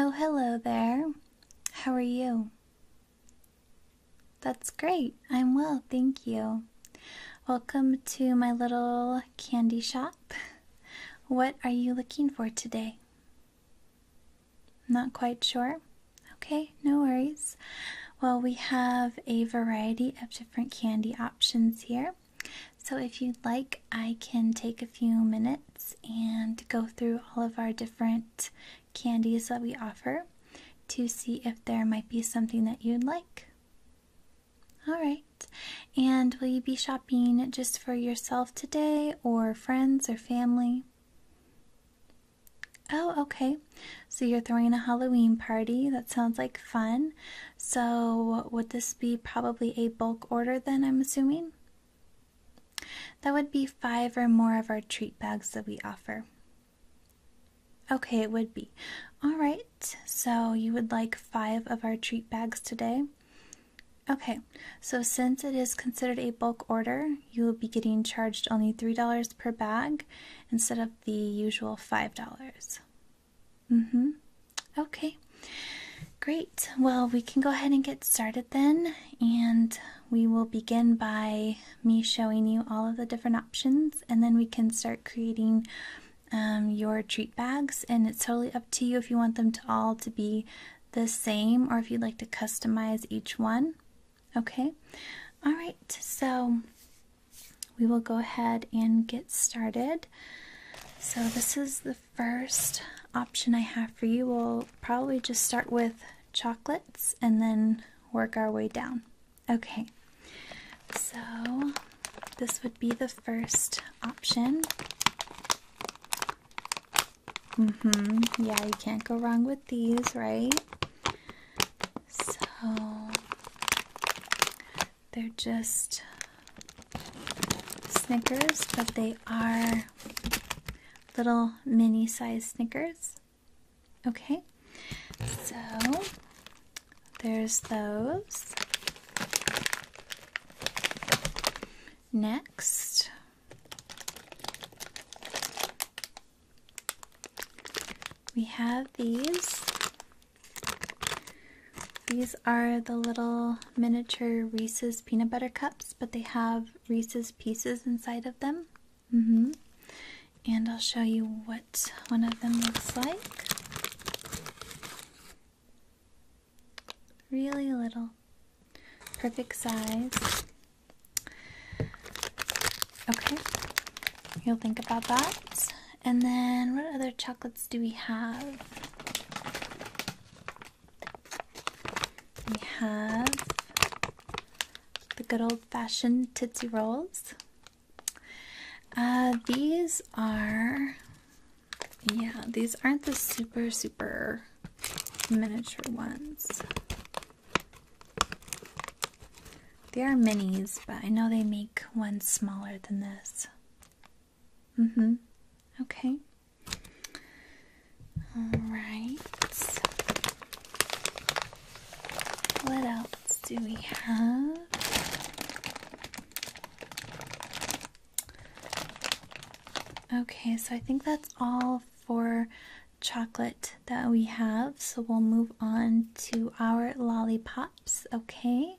Oh, hello there. How are you? That's great. I'm well, thank you. Welcome to my little candy shop. What are you looking for today? Not quite sure? Okay, no worries. Well, we have a variety of different candy options here. So, if you'd like, I can take a few minutes and go through all of our different candies that we offer to see if there might be something that you'd like. All right. And will you be shopping just for yourself today or friends or family? Oh, okay. So you're throwing a Halloween party. That sounds like fun. So, would this be probably a bulk order then? I'm assuming? That would be five or more of our treat bags that we offer. Okay, it would be. Alright, so you would like five of our treat bags today? Okay, so since it is considered a bulk order, you will be getting charged only $3 per bag instead of the usual $5. Mm hmm. Okay, great. Well, we can go ahead and get started then, and we will begin by me showing you all of the different options, and then we can start creating um, your treat bags. And it's totally up to you if you want them to all to be the same or if you'd like to customize each one. Okay, all right, so we will go ahead and get started. So, this is the first option I have for you. We'll probably just start with chocolates and then work our way down. Okay, so this would be the first option. Mm-hmm, yeah, you can't go wrong with these, right? So they're just Snickers, but they are little mini sized Snickers. Okay, so there's those. Next, we have these. These are the little miniature Reese's peanut butter cups, but they have Reese's pieces inside of them. Mm -hmm. And I'll show you what one of them looks like. Really little. Perfect size. Okay, you'll think about that. And then, what other chocolates do we have? We have the good old fashioned Tootsie Rolls. Uh, these are, yeah, these aren't the super, super miniature ones. They are minis, but I know they make one smaller than this. Mm hmm. Okay. All right. What else do we have? Okay, so I think that's all for chocolate that we have. So we'll move on to our lollipops, okay?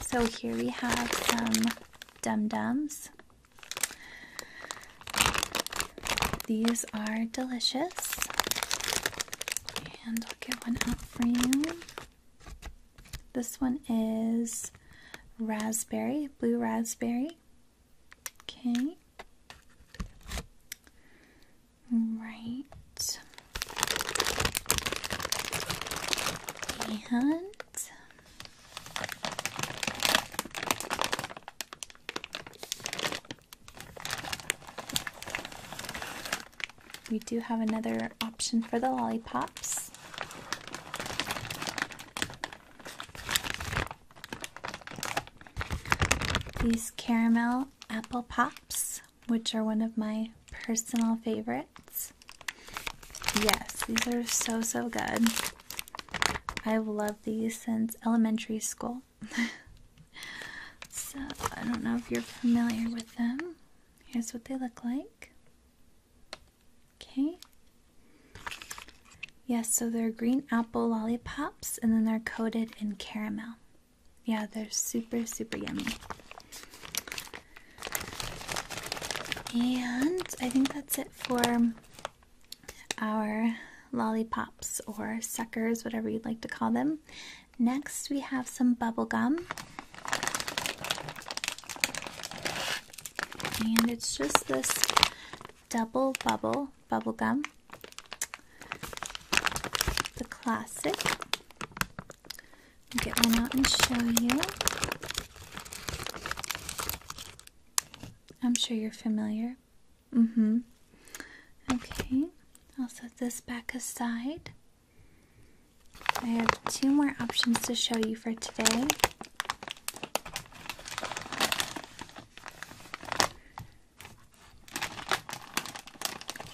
So here we have some Dum Dums. These are delicious. And I'll get one out for you. This one is raspberry, blue raspberry. Okay. Right. And we do have another option for the lollipops. These caramel apple pops which are one of my personal favorites. Yes, these are so so good. I've loved these since elementary school. so, I don't know if you're familiar with them. Here's what they look like. Okay. Yes, so they're green apple lollipops and then they're coated in caramel. Yeah, they're super, super yummy. And I think that's it for our lollipops or suckers, whatever you'd like to call them. Next, we have some bubble gum. And it's just this double bubble bubble gum. The classic get one out and show you. I'm sure you're familiar. Mm hmm. Okay, I'll set this back aside. I have two more options to show you for today.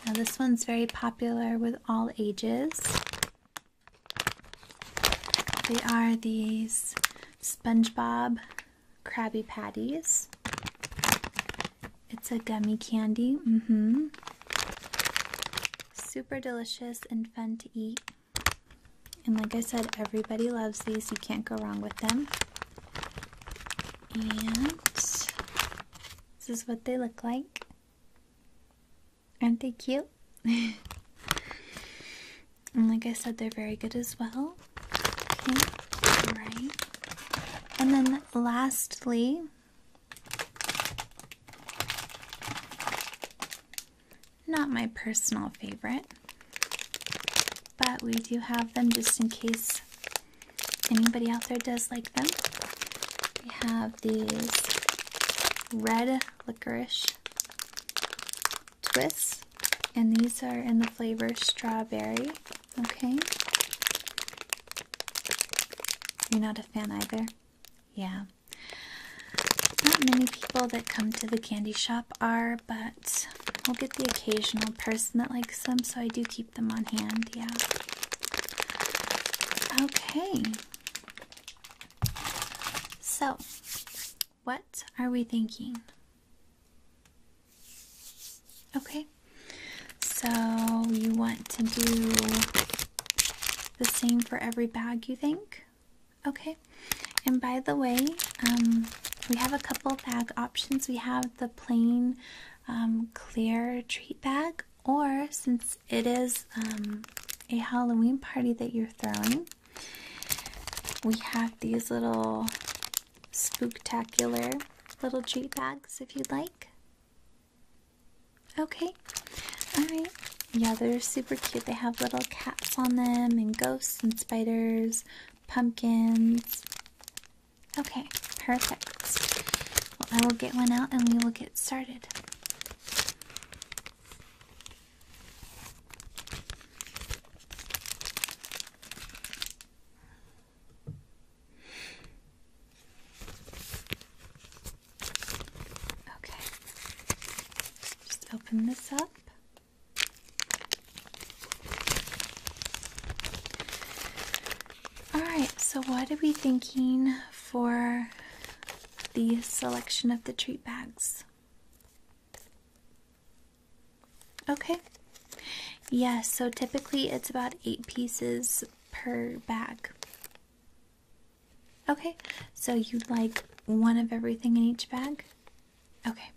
Now, this one's very popular with all ages. They are these SpongeBob Krabby Patties. It's a gummy candy. Mm-hmm. Super delicious and fun to eat. And like I said, everybody loves these. You can't go wrong with them. And this is what they look like. Aren't they cute? and like I said, they're very good as well. Okay, all right. And then lastly, not my personal favorite, but we do have them just in case anybody out there does like them. We have these red licorice twists, and these are in the flavor strawberry. Okay. You're not a fan either? Yeah. Not many people that come to the candy shop are, but we'll get the occasional person that likes like so I do keep them on hand, yeah. Okay. So, what are we thinking? Okay. So, you want to do the same for every bag, you think? Okay. And by the way, um, we have a couple bag options. We have the plain um, clear treat bag, or since it is um, a Halloween party that you're throwing, we have these little spooktacular little treat bags if you'd like. Okay, alright. Yeah, they're super cute. They have little cats on them, and ghosts, and spiders, pumpkins. Okay, perfect. Well, I will get one out and we will get started. Okay, just open this up. All right, so what are we thinking for the selection of the treat bags? Okay. Yes, yeah, so typically it's about eight pieces per bag. Okay, so you'd like one of everything in each bag? Okay.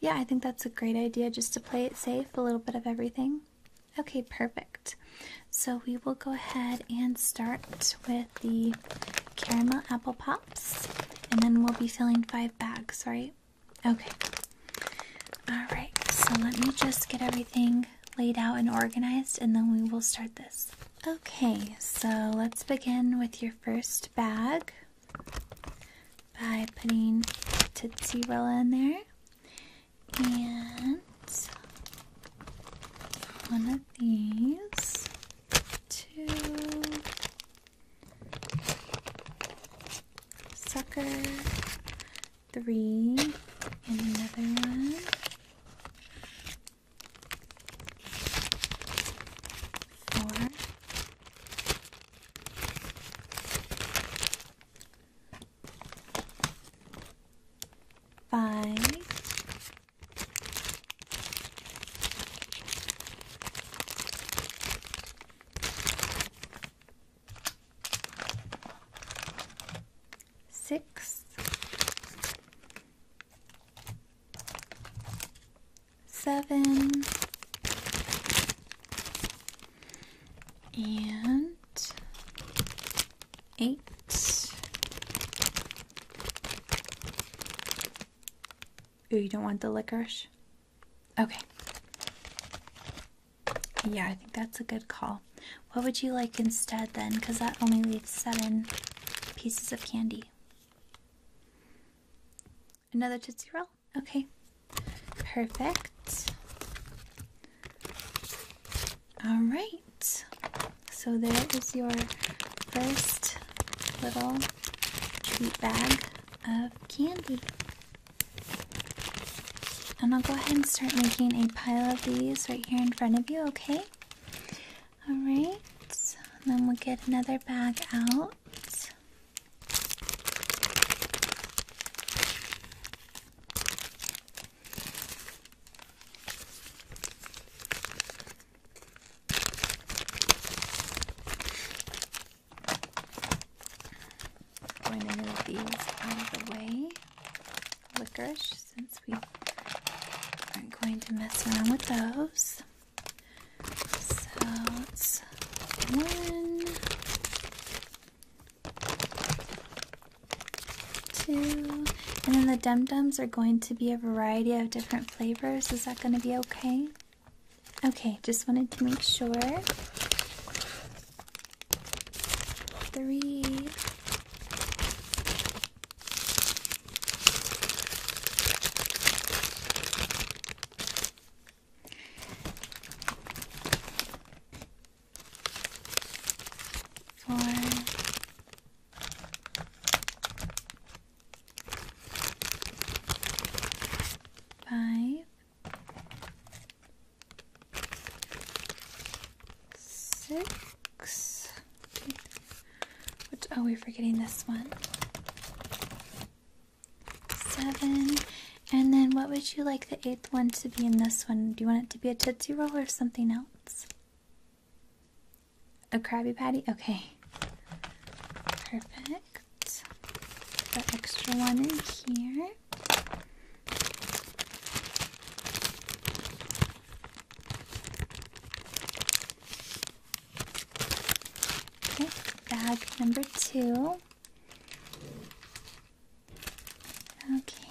Yeah, I think that's a great idea just to play it safe, a little bit of everything. Okay, perfect. So we will go ahead and start with the caramel apple pops, and then we'll be filling five bags, right? Okay. All right, so let me just get everything laid out and organized, and then we will start this. Okay, so let's begin with your first bag by putting Tootsie Roll in there and one of these, two sucker, three, and another one. Four, five, six, seven, and eight. Ooh, you don't want the licorice? Okay. Yeah, I think that's a good call. What would you like instead then? Because that only leaves seven pieces of candy. Another Tootsie Roll? Okay, perfect. All right, so there is your first little treat bag of candy. And I'll go ahead and start making a pile of these right here in front of you, okay? All right, then we'll get another bag out notes. I'm going to move these out of the way, licorice, since we aren't going to mess around with those. So one, two, and then the dum dums are going to be a variety of different flavors. Is that going to be okay? Okay, just wanted to make sure. Three four, five, six. Which, oh, we're forgetting this one seven. And then what would you like the eighth one to be in this one? Do you want it to be a Tootsie Roll or something else? A Krabby Patty? Okay. Perfect. extra one in here bag number two. Okay.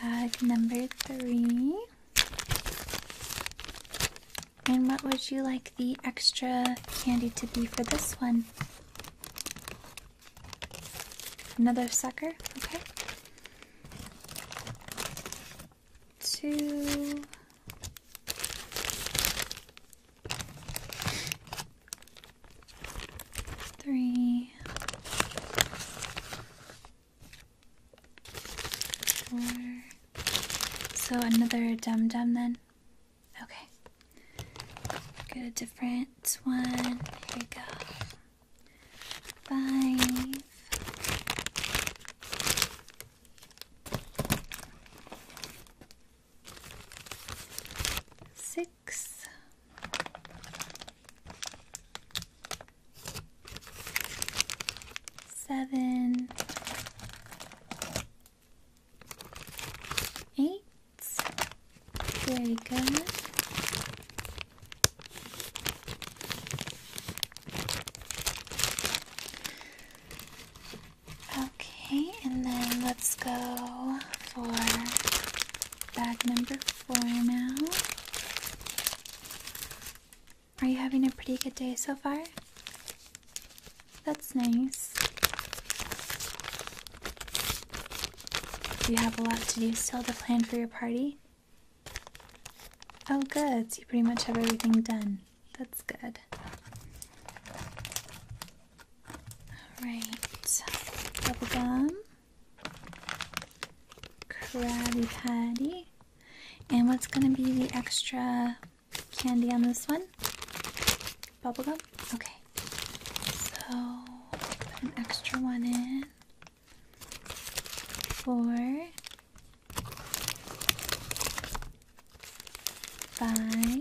Bag number three. And what would you like the extra candy to be for this one? Another sucker, okay. Two. Three. Four. So another dum dum then? Okay. Get a different one. Here we go five, six, seven, eight. So, very Okay, and then let's go for bag number four now. Are you having a pretty good day so far? That's nice. You have a lot to do still to plan for your party? Oh, good. So you pretty much have everything done. That's good. Alright. gum, Krabby Patty. And what's going to be the extra candy on this one? Bubblegum? Okay. So, an extra one in. four, five,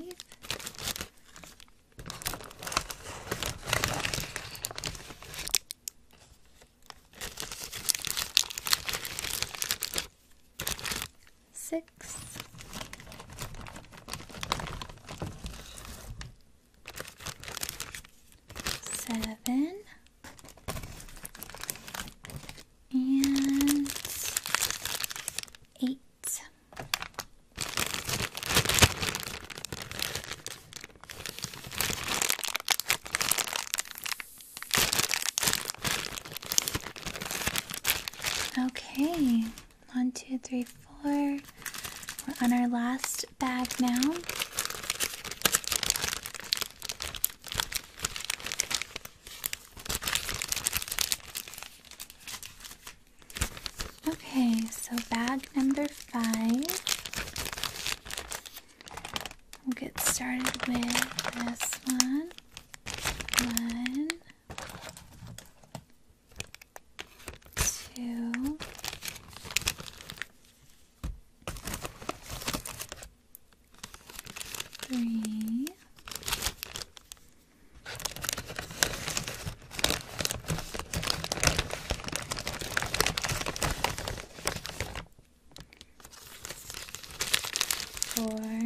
six seven, and eight. Okay, one, two, three, four. We're on our last bag now. Okay, so bag number five. We'll get started with this one. One, two, three, four.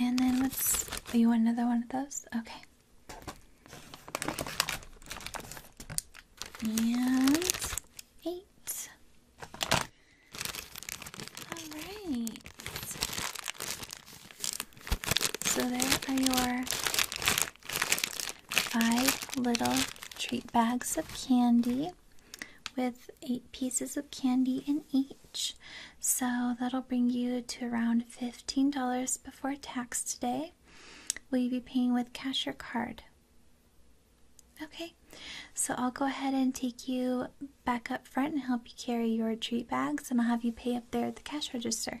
And then let's. Oh, you want another one of those? Okay. And eight. Alright. So there are your five little treat bags of candy with eight pieces of candy in each. So that'll bring you to around $15 before tax today. Will you be paying with cash or card? Okay, so I'll go ahead and take you back up front and help you carry your treat bags, and I'll have you pay up there at the cash register.